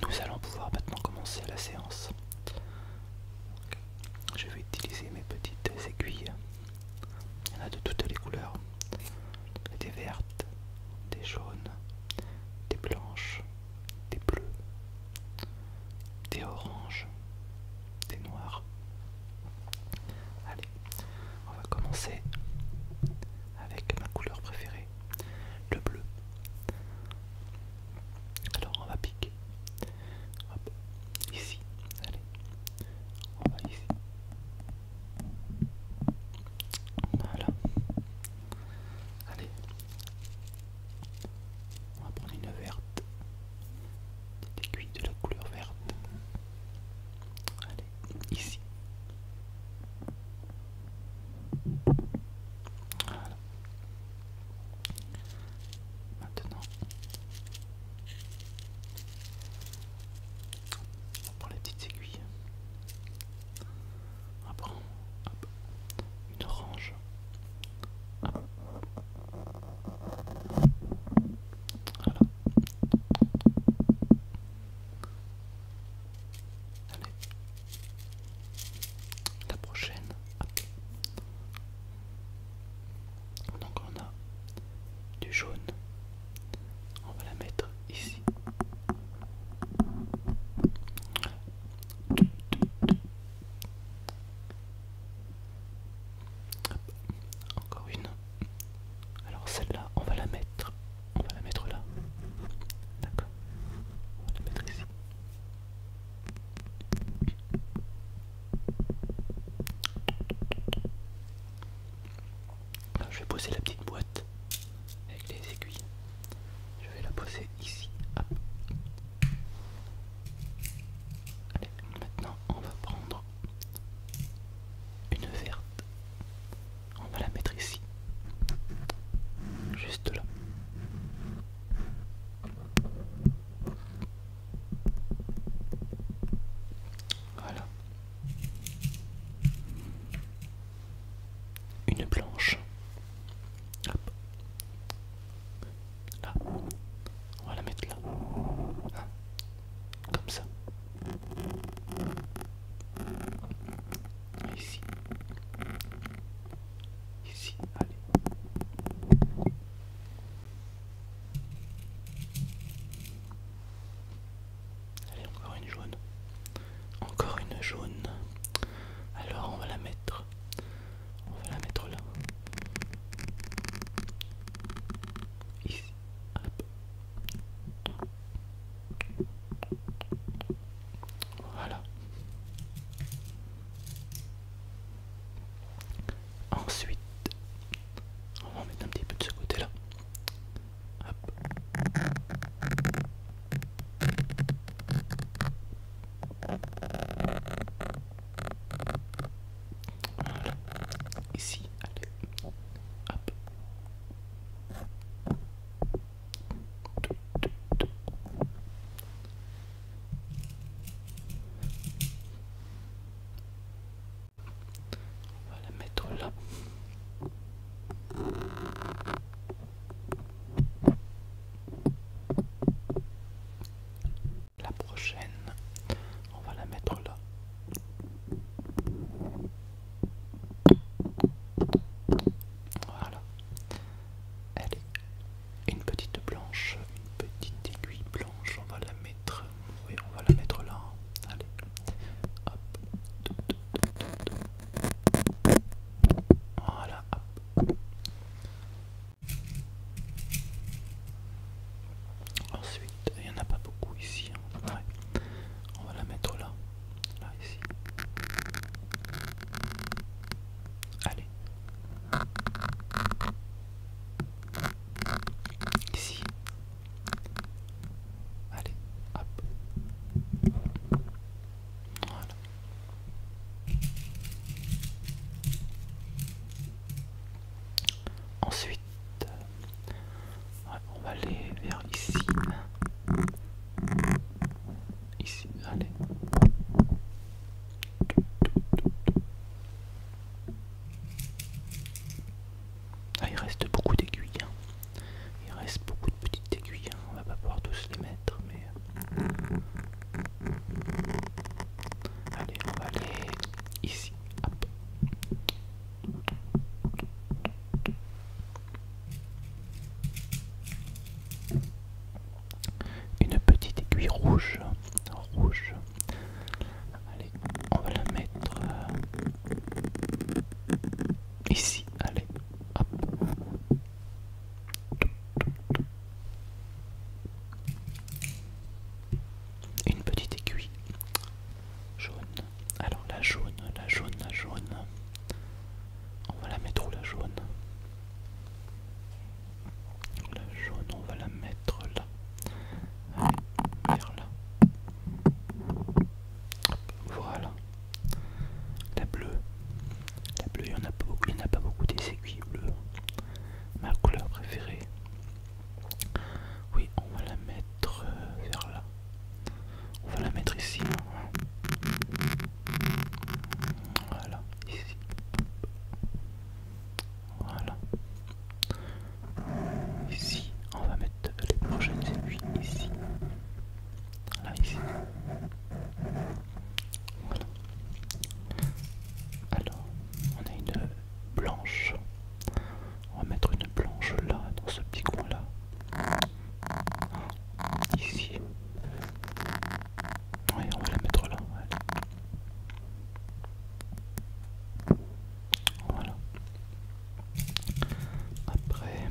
Nous allons pouvoir maintenant commencer la séance. Je vais utiliser mes petites aiguilles. Il y en a de toutes les couleurs. Des vertes, des jaunes, des blanches, des bleus, des oranges, des noirs. Allez, on va commencer avec ma couleur préférée le bleu. Alors on va piquer. Ici. Allez. On va ici. Voilà. Allez. On va prendre une verte. Des aiguilles de la couleur verte. Allez, ici. Maintenant, on prend les petites aiguilles. On prend une orange. Allez, la prochaine. Donc on a du jaune. On va la mettre ici. Encore une. Alors celle-là, on va la mettre on va la mettre là. D'accord. On va la mettre ici. je vais poser la petite boîte avec les aiguilles. Je vais la poser ici. Allez, maintenant on va prendre une verte. On va la mettre ici. Juste là. Voilà. Une planche. Hop. Là. On va la mettre là. Hein. Comme ça. Ici. Ici, allez. encore une jaune. Encore une jaune. Alors on va la mettre. On va la mettre là. Ici. Voilà. Ensuite, on va mettre un petit peu de ce côté-là. Voilà. Ici, on va la mettre là. La prochaine, on va la mettre là. Voilà. Allez, une petite blanche, une petite aiguille blanche, on va la mettre. Oui, on va la mettre là. Allez. Hop. Voilà, Ensuite, il n'y en a pas beaucoup ici. Hein. On va la mettre là. Là, ah, ici. Allez. Ici. Allez, hop. Voilà. Ensuite, on va aller vers ici. Ici, allez. Ah, il reste beaucoup d'aiguilles. Hein. Il reste beaucoup de petites aiguilles. Hein. On va pas pouvoir tous les mettre, mais. Euh, allez, on va aller ici. Une petite aiguille rouge, rouge. Allez, on va la mettre euh, ici. Allez, Une petite aiguille jaune. Alors la jaune, la jaune, la jaune. On va la mettre où la jaune La jaune, on va la mettre là. vers là. voilà. La bleue. La bleue, il n'y en a pas beaucoup, il n'y en a pas beaucoup des aiguilles bleues. Ma couleur préférée. Oui, on va la mettre euh, vers là. On va la mettre ici. Voilà, ici. Voilà. Ici, on va mettre les prochaines aiguilles ici. Là, ici. Voilà. Alors, on a une blanche. On va mettre une planche là, dans ce petit coin là. Ah, ici. Oui, on va la mettre là. Voilà. Après,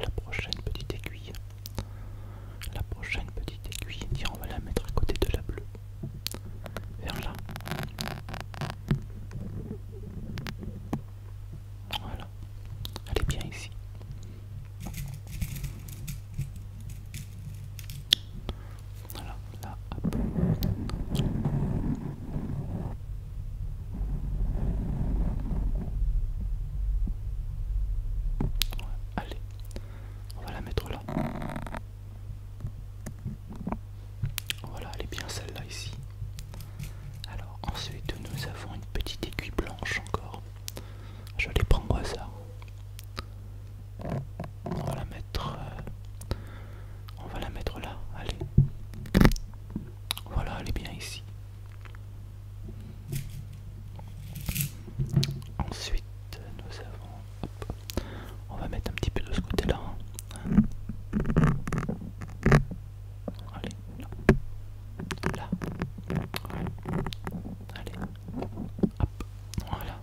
la prochaine petite aiguille. La prochaine petite aiguille, on va la mettre à côté de la bleue. Vers là. Voilà, elle est bien ici. Voilà, là, allez, on va la mettre là. Voilà, elle est bien celle-là ici. Alors ensuite nous avons une petite aiguille blanche encore. Je vais prendre ça. ça. On va la mettre. Euh, on va la mettre là. Allez. Voilà, elle est bien ici. Ensuite, nous avons on va mettre un petit peu de ce côté-là. Hein. Allez, là. Là. Allez. Hop. Voilà.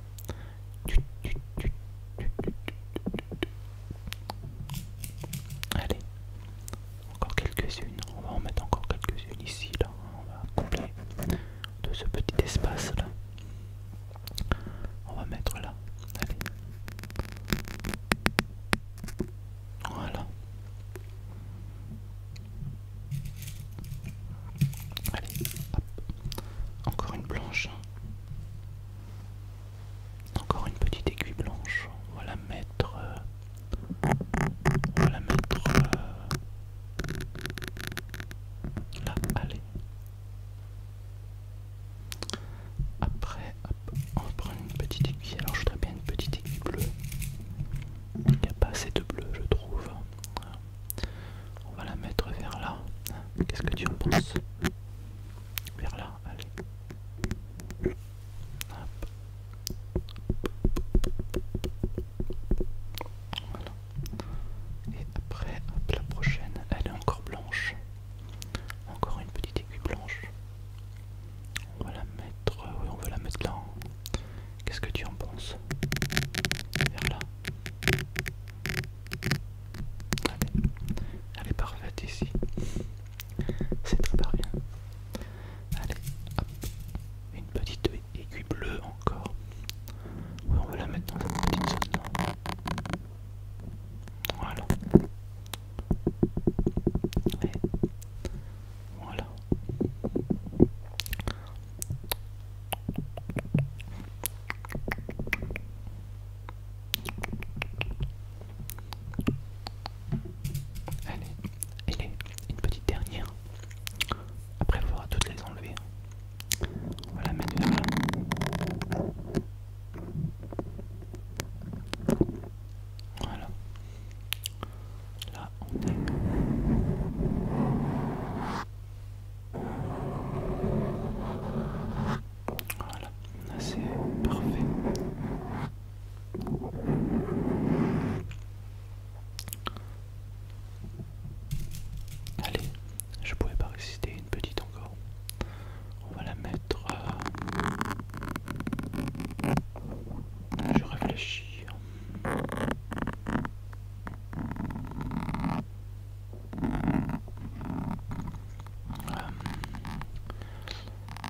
Allez. Encore quelques-unes. On va en mettre encore quelques-unes ici, là. On va combler de ce petit espace là. On va mettre là. Allez. Voilà. Allez, Encore une blanche, Encore une petite aiguille blanche. On va la mettre. Euh, on va la mettre. Euh, là, allez. Après, on va prendre une petite aiguille. Alors, je voudrais bien une petite aiguille bleue. Il n'y a pas assez de bleu, je trouve. On va la mettre vers là. Qu'est-ce que tu en penses Vers là, allez. Voilà. Et après, la prochaine, elle est encore blanche. Encore une petite aiguille blanche. On va la mettre, euh, oui, on va la mettre là. Hein. Qu'est-ce que tu en penses Vers là. Allez. Elle est parfaite ici. C'est très bien. Allez, Une petite aiguille bleue encore. Oui, on va la mettre dans cette petite zone là. Voilà. voilà. Allez, une petite dernière. Après, il toutes les enlever voilà va la mettre Voilà. Là, on est. Voilà, c'est parfait. Allez, je pouvais pas résister, une petite encore. On va la mettre. Euh, je réfléchis. Euh,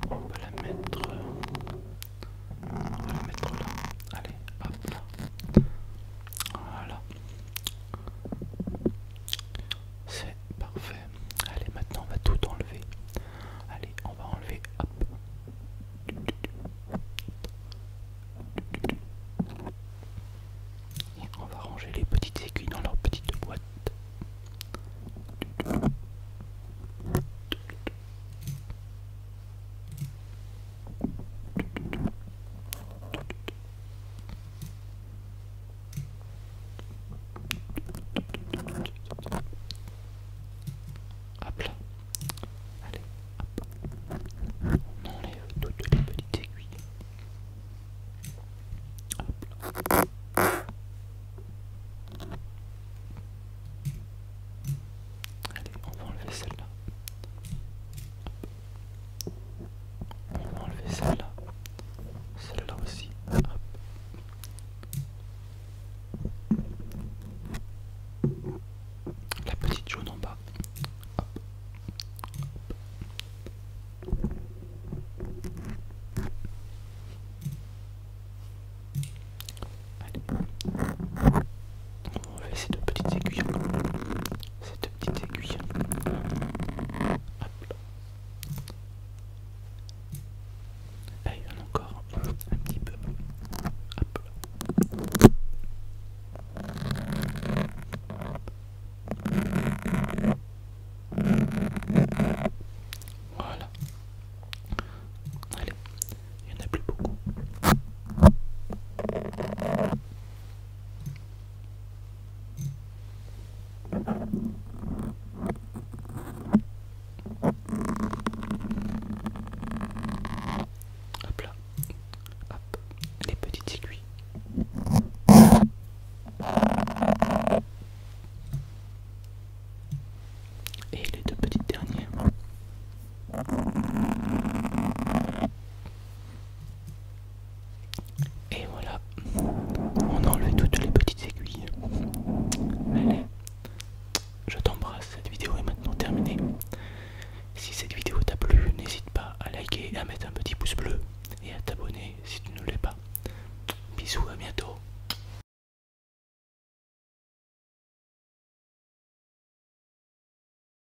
on va la mettre. Euh, on va la mettre là. Allez, hop là. Voilà. C'est parfait. Allez, maintenant on va tout enlever. Allez, on va enlever. Et on va ranger les petites aiguilles dans leur petite boîte. Hop Allez, hop. On enlève toutes les petites aiguilles. Allez, on va enlever celle-là. On va enlever celle-là. Celle-là aussi. La petite jaune en bas va ces deux petites aiguilles. Ces deux petites aiguilles. Hop. Là, il y en a encore un petit peu. Hop là. Voilà. Allez, il n'y en a plus beaucoup. Hop là, hop, les petites aiguilles. Et les deux petites dernières. Et voilà, on enlève toutes les petites aiguilles. Allez, je t'embrasse, cette vidéo est maintenant terminée. Si cette vidéo t'a plu, n'hésite pas à liker, à mettre un petit pouce bleu et à t'abonner si tu ne l'es pas. Bisous, à bientôt.